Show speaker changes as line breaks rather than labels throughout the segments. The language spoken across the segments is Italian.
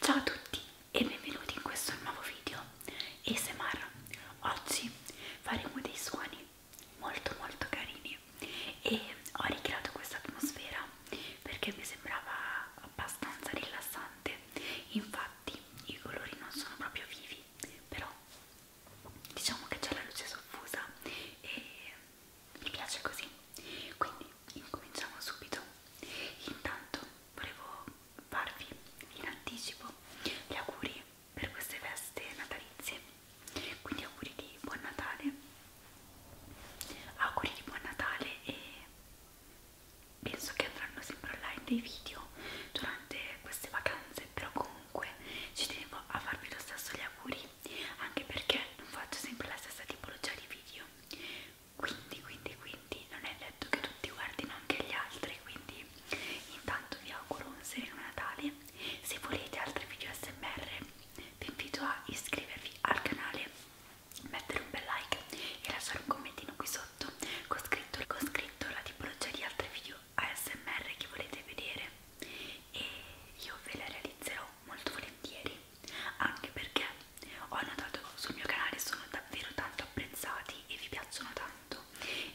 Ciao a tutti e benvenuti in questo nuovo video ASMR. Oggi faremo dei suoni molto molto carini e ho ricreato questa atmosfera perché mi sembrava abbastanza rilassante. Infatti i colori non sono proprio vivi, però diciamo che c'è la luce soffusa e mi piace così quindi incominciamo subito intanto volevo farvi in anticipo gli auguri per queste feste natalizie quindi auguri di buon natale auguri di buon natale e penso che andranno sempre online dei video durante queste vacanze però comunque ci tenevo a farvi lo stesso gli auguri anche perché non faccio sempre la stessa tipologia di video quindi quindi quindi non è detto che tutti guardino anche gli altri quindi intanto vi auguro un sereno Natale se volete altri video smr vi invito a iscrivervi al canale mettere un bel like e lasciare un commentino qui sotto con scritto, con scritto la tipologia di altri video ASMR che volete vedere e io ve la realizzerò molto volentieri, anche perché ho notato sul mio canale sono davvero tanto apprezzati e vi piacciono tanto e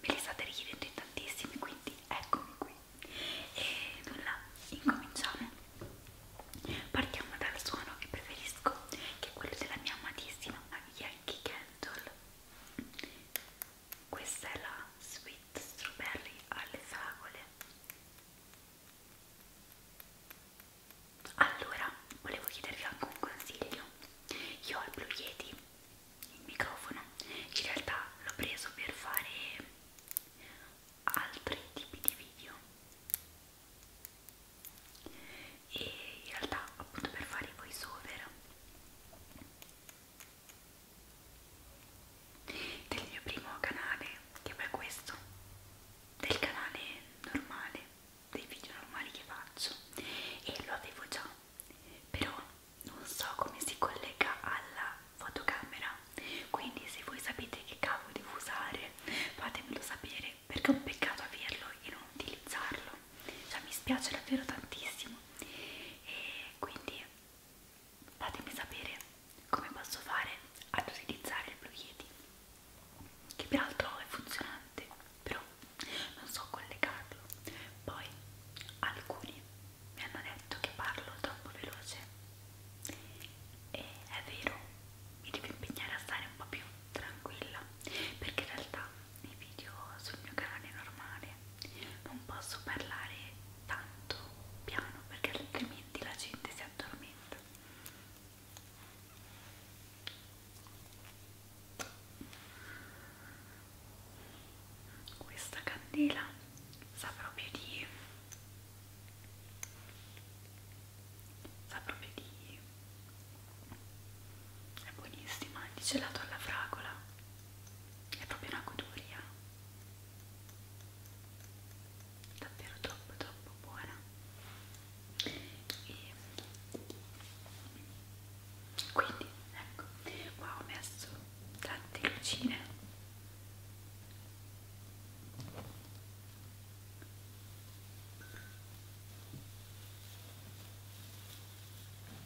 me li state richiedendo in tantissimi, quindi eccomi qui. E nulla, incominciamo. Partiamo dal suono che preferisco, che è quello della mia amatissima Yankee Candle. Questa è la Sweet Strawberry alle fragole. Allora, volevo chiedervi anche un consiglio. Io ho il Blue Yeti, il microfono, in realtà l'ho preso per fare altri tipi di video e in realtà appunto per fare voice over del mio primo canale che è questo del canale normale dei video normali che faccio e lo avevo già però non so come si collega alla fotocamera quindi se voi sapete che cavo devo usare fatemelo sapere perché è un peccato averlo e non utilizzarlo cioè mi spiace davvero tantissimo e quindi fatemi sapere come posso fare ad utilizzare il Blue Yeti che peraltro è funzionante però non so collegarlo poi alcuni mi hanno detto che parlo troppo veloce e è vero mi devo impegnare a stare un po' più tranquilla perché in realtà nei video sul mio canale normale non posso parlare tanto piano perché altrimenti la gente si addormenta questa candela sa proprio di sa proprio di è buonissima di gelato alla fragola è proprio una goduria davvero troppo troppo buona e quindi ecco qua ho messo tante lucine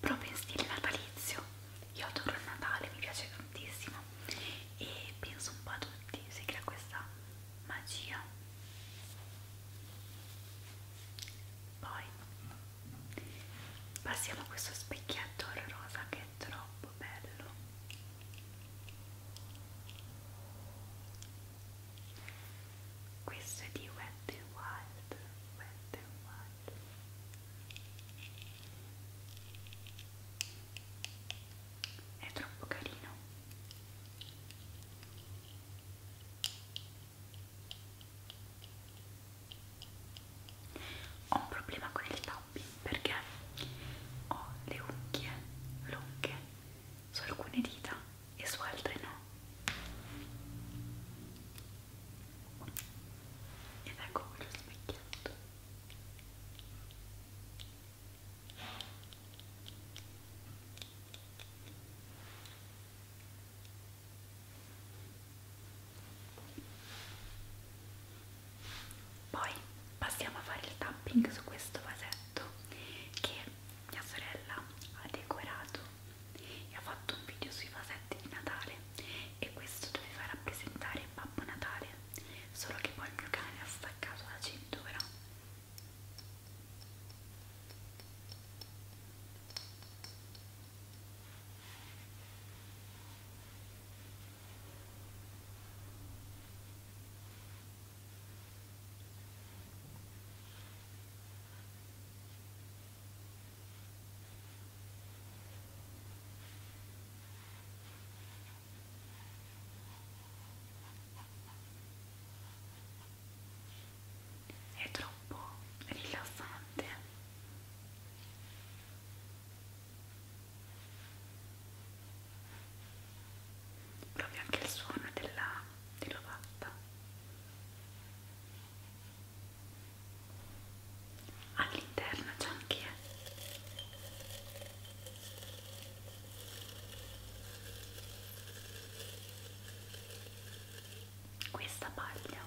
proprio in stile natalizio io adoro il Natale, mi piace tantissimo e penso un po' a tutti si crea questa magia poi passiamo a questo specchietto rosa che è troppo bello questo è di Wet n Wild Wet n Wild è troppo carino ho un problema con il tapping perché ho le unghie lunghe su alcune dita e su altri no ed ecco qui lo specchietto poi passiamo a fare il tapping su questo vasetto oggetto che mia sorella ha decorato e ha fatto un video sui vasetti di Natale e questo doveva rappresentare Babbo Natale solo che poi il mio cane ha staccato la cintura è troppo rilassante proprio anche il suono della dell'ovatta all'interno c'è anche questa paglia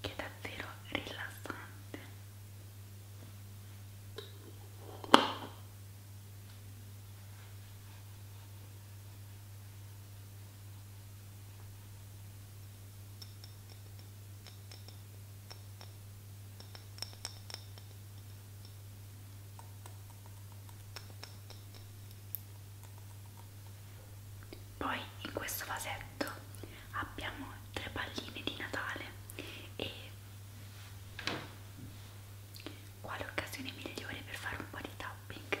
che è davvero rilassante poi in questo vasetto abbiamo tre palline di Natale e quale occasione migliore per fare un po' di tapping?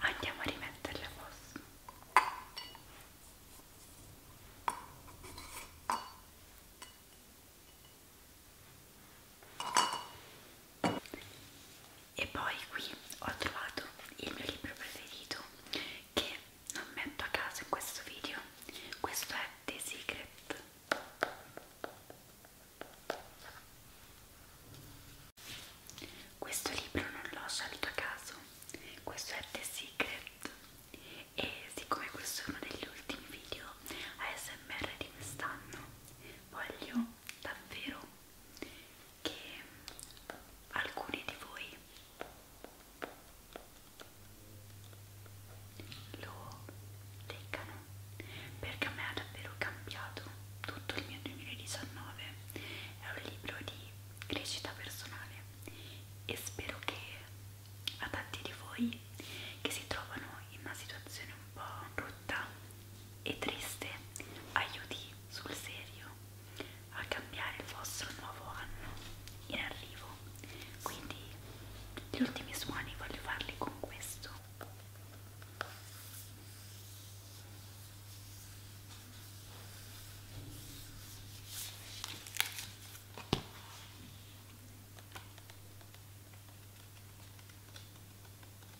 Andiamo a rimetterle a posto e poi qui ho trovato il mio libro preferito che non metto a caso in questo video questo è The Secret questo libro non l'ho scelto a caso questo è The Secret e siccome questo è uno degli ultimi video ASMR di quest'anno voglio davvero che alcuni di voi lo leccano perché a me ha davvero cambiato tutto il mio 2019 è un libro di crescita personale e spero che a tanti di voi che si trovano in una situazione un po' brutta e triste aiuti sul serio a cambiare il vostro nuovo anno in arrivo quindi gli ultimi suoni voglio farli con questo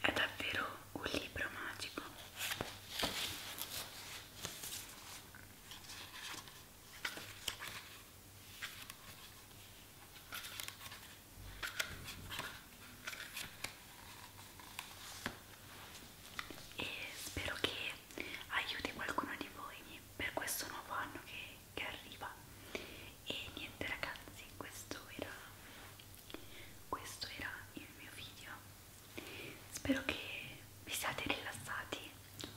è davvero un libro magico e spero che aiuti qualcuno di voi per questo nuovo anno che, che arriva e niente ragazzi questo era questo era il mio video spero che vi siate rilassati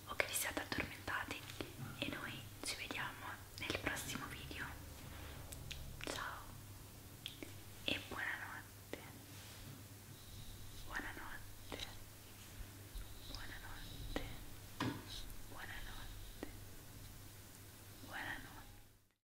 o che vi siate addormentati e noi ci vediamo nel prossimo video ciao e buonanotte buonanotte buonanotte buonanotte buonanotte